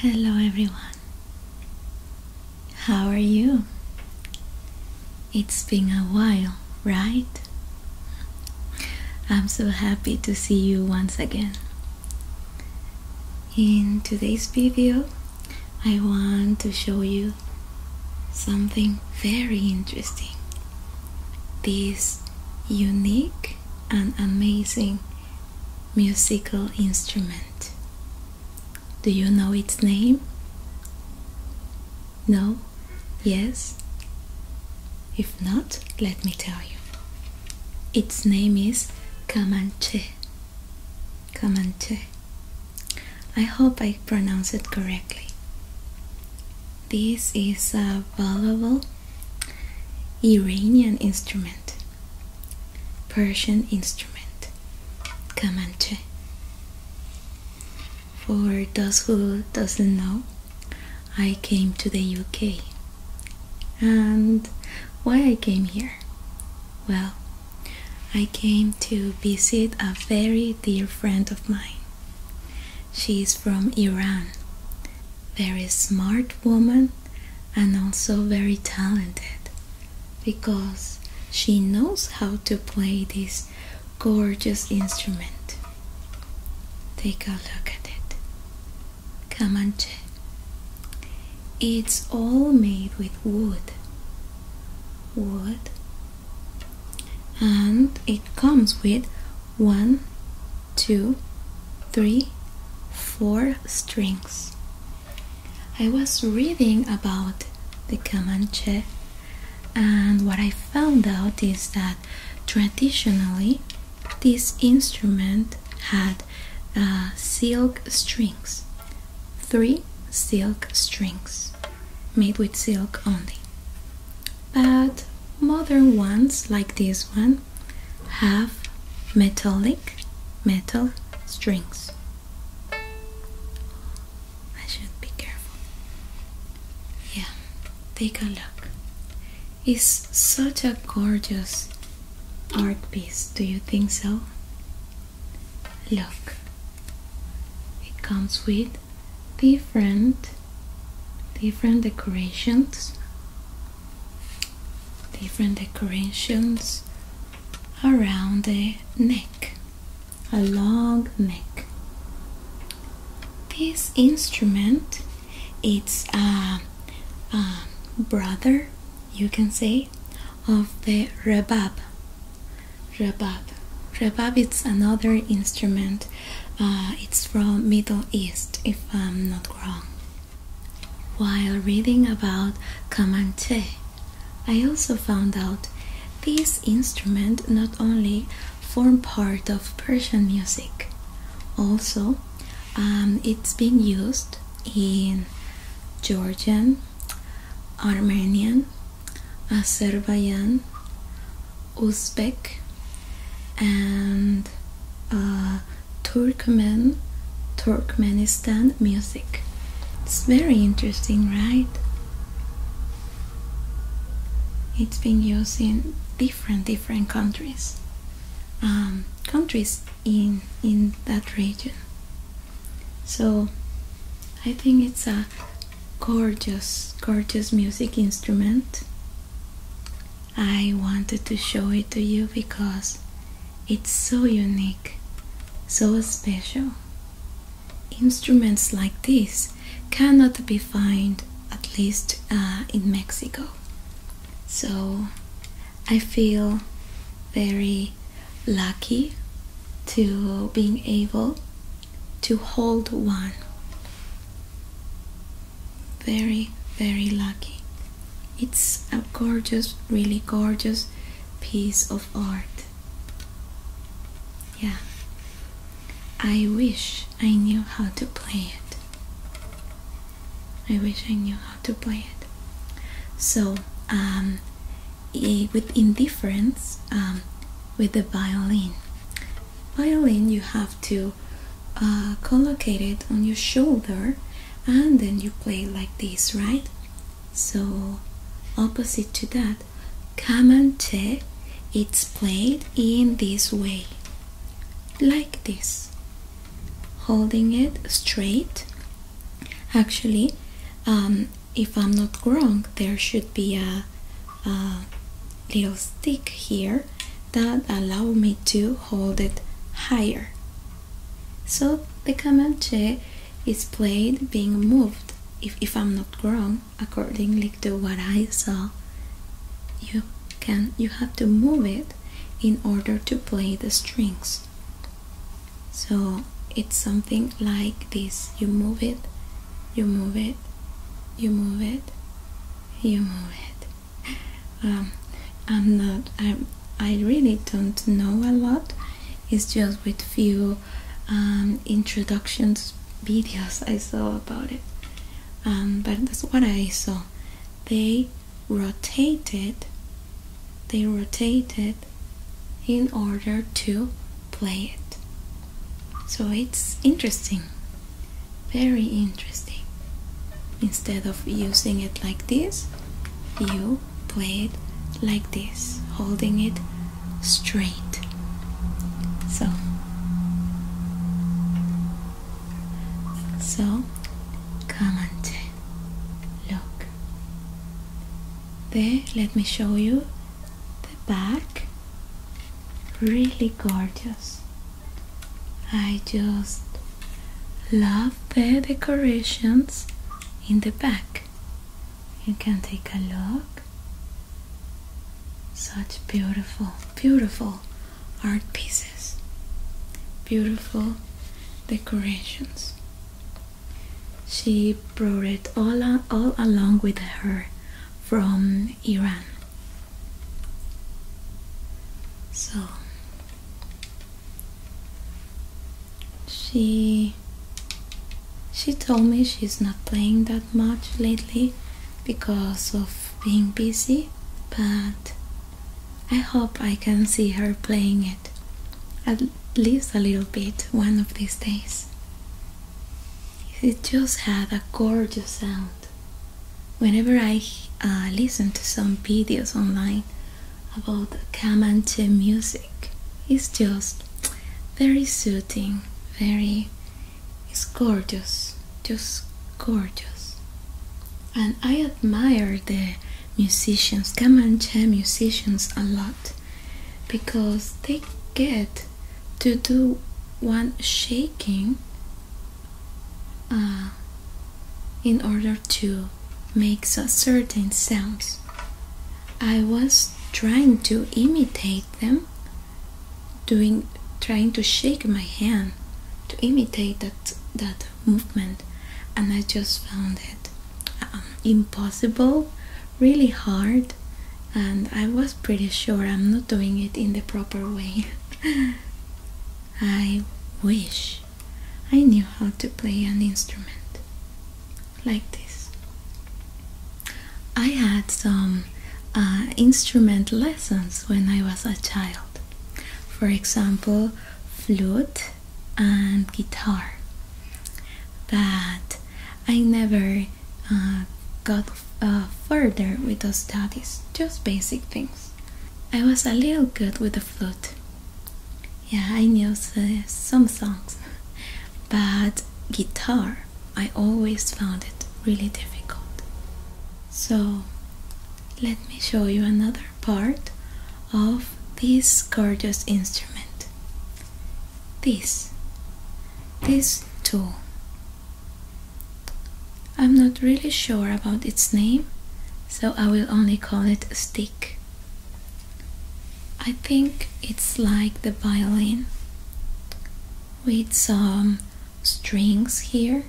Hello, everyone. How are you? It's been a while, right? I'm so happy to see you once again. In today's video, I want to show you something very interesting. This unique and amazing musical instrument. Do you know its name? No? Yes? If not, let me tell you. Its name is kamancha. Command I hope I pronounce it correctly. This is a valuable Iranian instrument, Persian instrument. Command For those who doesn't know, I came to the UK. And why I came here? Well, I came to visit a very dear friend of mine. She is from Iran. Very smart woman and also very talented because she knows how to play this gorgeous instrument. Take a look at it. Kamanche. It's all made with wood wood and it comes with one two three four strings i was reading about the comanche and what i found out is that traditionally this instrument had uh, silk strings three silk strings made with silk only. But modern ones like this one have metallic metal strings. I should be careful. Yeah, take a look. It's such a gorgeous art piece, do you think so? Look, it comes with different different decorations different decorations around the neck a long neck this instrument it's a, a brother you can say, of the rebab. Rebab. Rebab is another instrument. Uh, it's from Middle East, if I'm not wrong. While reading about Kamanche, I also found out this instrument not only form part of Persian music, also um, it's been used in Georgian, Armenian, Azerbaijan, Uzbek, and uh, Turkmen, Turkmenistan music. It's very interesting, right? It's been used in different different countries, um, countries in in that region. So I think it's a gorgeous, gorgeous music instrument. I wanted to show it to you because it's so unique, so special. Instruments like this cannot be found, at least uh, in Mexico. So I feel very lucky to being able to hold one. Very, very lucky. It's a gorgeous, really gorgeous piece of art. Yeah. I wish I knew how to play it. I wish I knew how to play it. So, um, with indifference um, with the violin. Violin you have to uh, collocate it on your shoulder and then you play like this, right? So opposite to that, kamante it's played in this way, like this, holding it straight Actually, um, if I'm not wrong, there should be a, little stick here that allow me to hold it higher. So the Kamanche is played being moved, if, if I'm not wrong, according to what I saw. You can you have to move it in order to play the strings so it's something like this you move it you move it you move it you move it um, i'm not I'm, i really don't know a lot it's just with few um, introductions videos i saw about it um, but that's what i saw they rotated they rotated in order to play it. So it's interesting, very interesting. Instead of using it like this, you play it like this, holding it straight. So, so, kamante, look, there let me show you the back really gorgeous I just love the decorations in the back you can take a look such beautiful beautiful art pieces beautiful decorations she brought it all, all along with her from Iran. So she she told me she's not playing that much lately because of being busy, but I hope I can see her playing it, at least a little bit, one of these days. It just had a gorgeous sound. Whenever I uh, listen to some videos online about Kamanche music, it's just very soothing, very. It's gorgeous, just gorgeous. And I admire the uh, musicians, Kamancha musicians, a lot because they get to do one shaking uh, in order to make certain sounds. I was trying to imitate them, doing trying to shake my hand to imitate that that movement and I just found it um, impossible, really hard, and I was pretty sure I'm not doing it in the proper way. I wish I knew how to play an instrument like this. I had some uh, instrument lessons when I was a child. For example, flute and guitar but I never uh, got uh, further with the studies, just basic things. I was a little good with the flute. Yeah, I knew some songs, but guitar, I always found it really difficult. So, let me show you another part of this gorgeous instrument. This. This tool. I'm not really sure about its name, so I will only call it a stick. I think it's like the violin with some strings here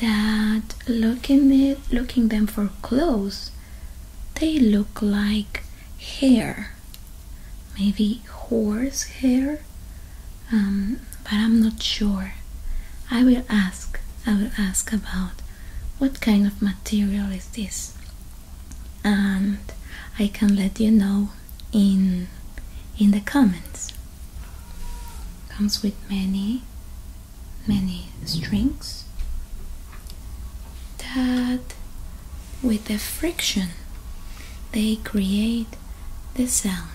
that looking it looking them for close they look like hair, maybe horse hair, um, but I'm not sure. I will ask. I will ask about what kind of material is this, and I can let you know in in the comments. Comes with many many strings that with the friction they create the sound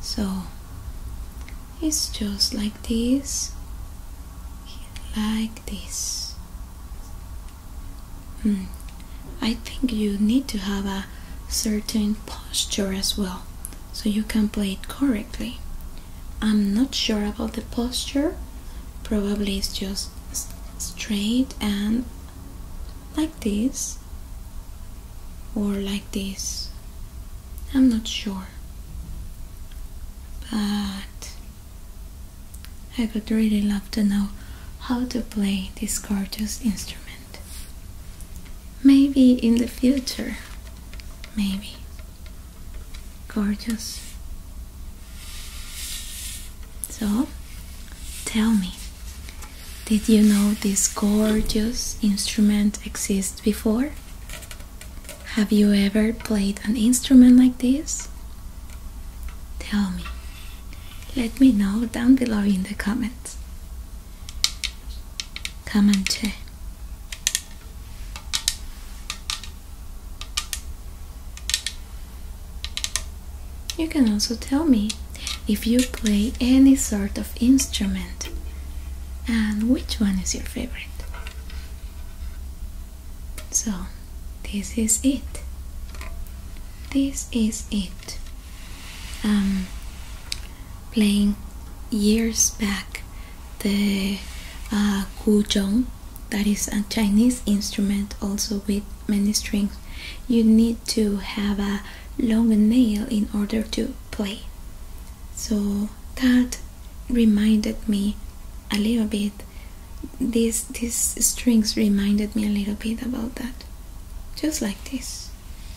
so it's just like this like this hmm. I think you need to have a certain posture as well so you can play it correctly I'm not sure about the posture, probably it's just straight and like this or like this. I'm not sure, but I would really love to know how to play this gorgeous instrument. Maybe in the future, maybe. Gorgeous. So, tell me, did you know this gorgeous instrument exists before? Have you ever played an instrument like this? Tell me. Let me know down below in the comments. Comanche. You can also tell me if you play any sort of instrument and which one is your favorite. So, this is it. This is it. Um, playing years back the uh, that is a Chinese instrument also with many strings you need to have a long nail in order to play so that reminded me a little bit these these strings reminded me a little bit about that just like this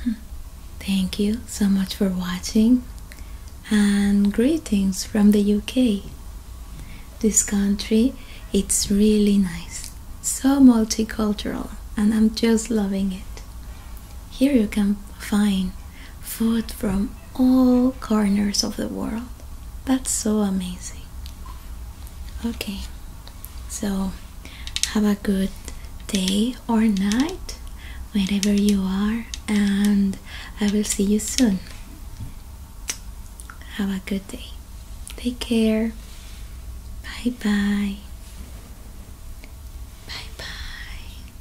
Hmm. Thank you so much for watching and greetings from the UK. This country, it's really nice, so multicultural and I'm just loving it. Here you can find food from all corners of the world. That's so amazing. Okay, so have a good day or night wherever you are, and I will see you soon. Have a good day. Take care. Bye bye. Bye bye.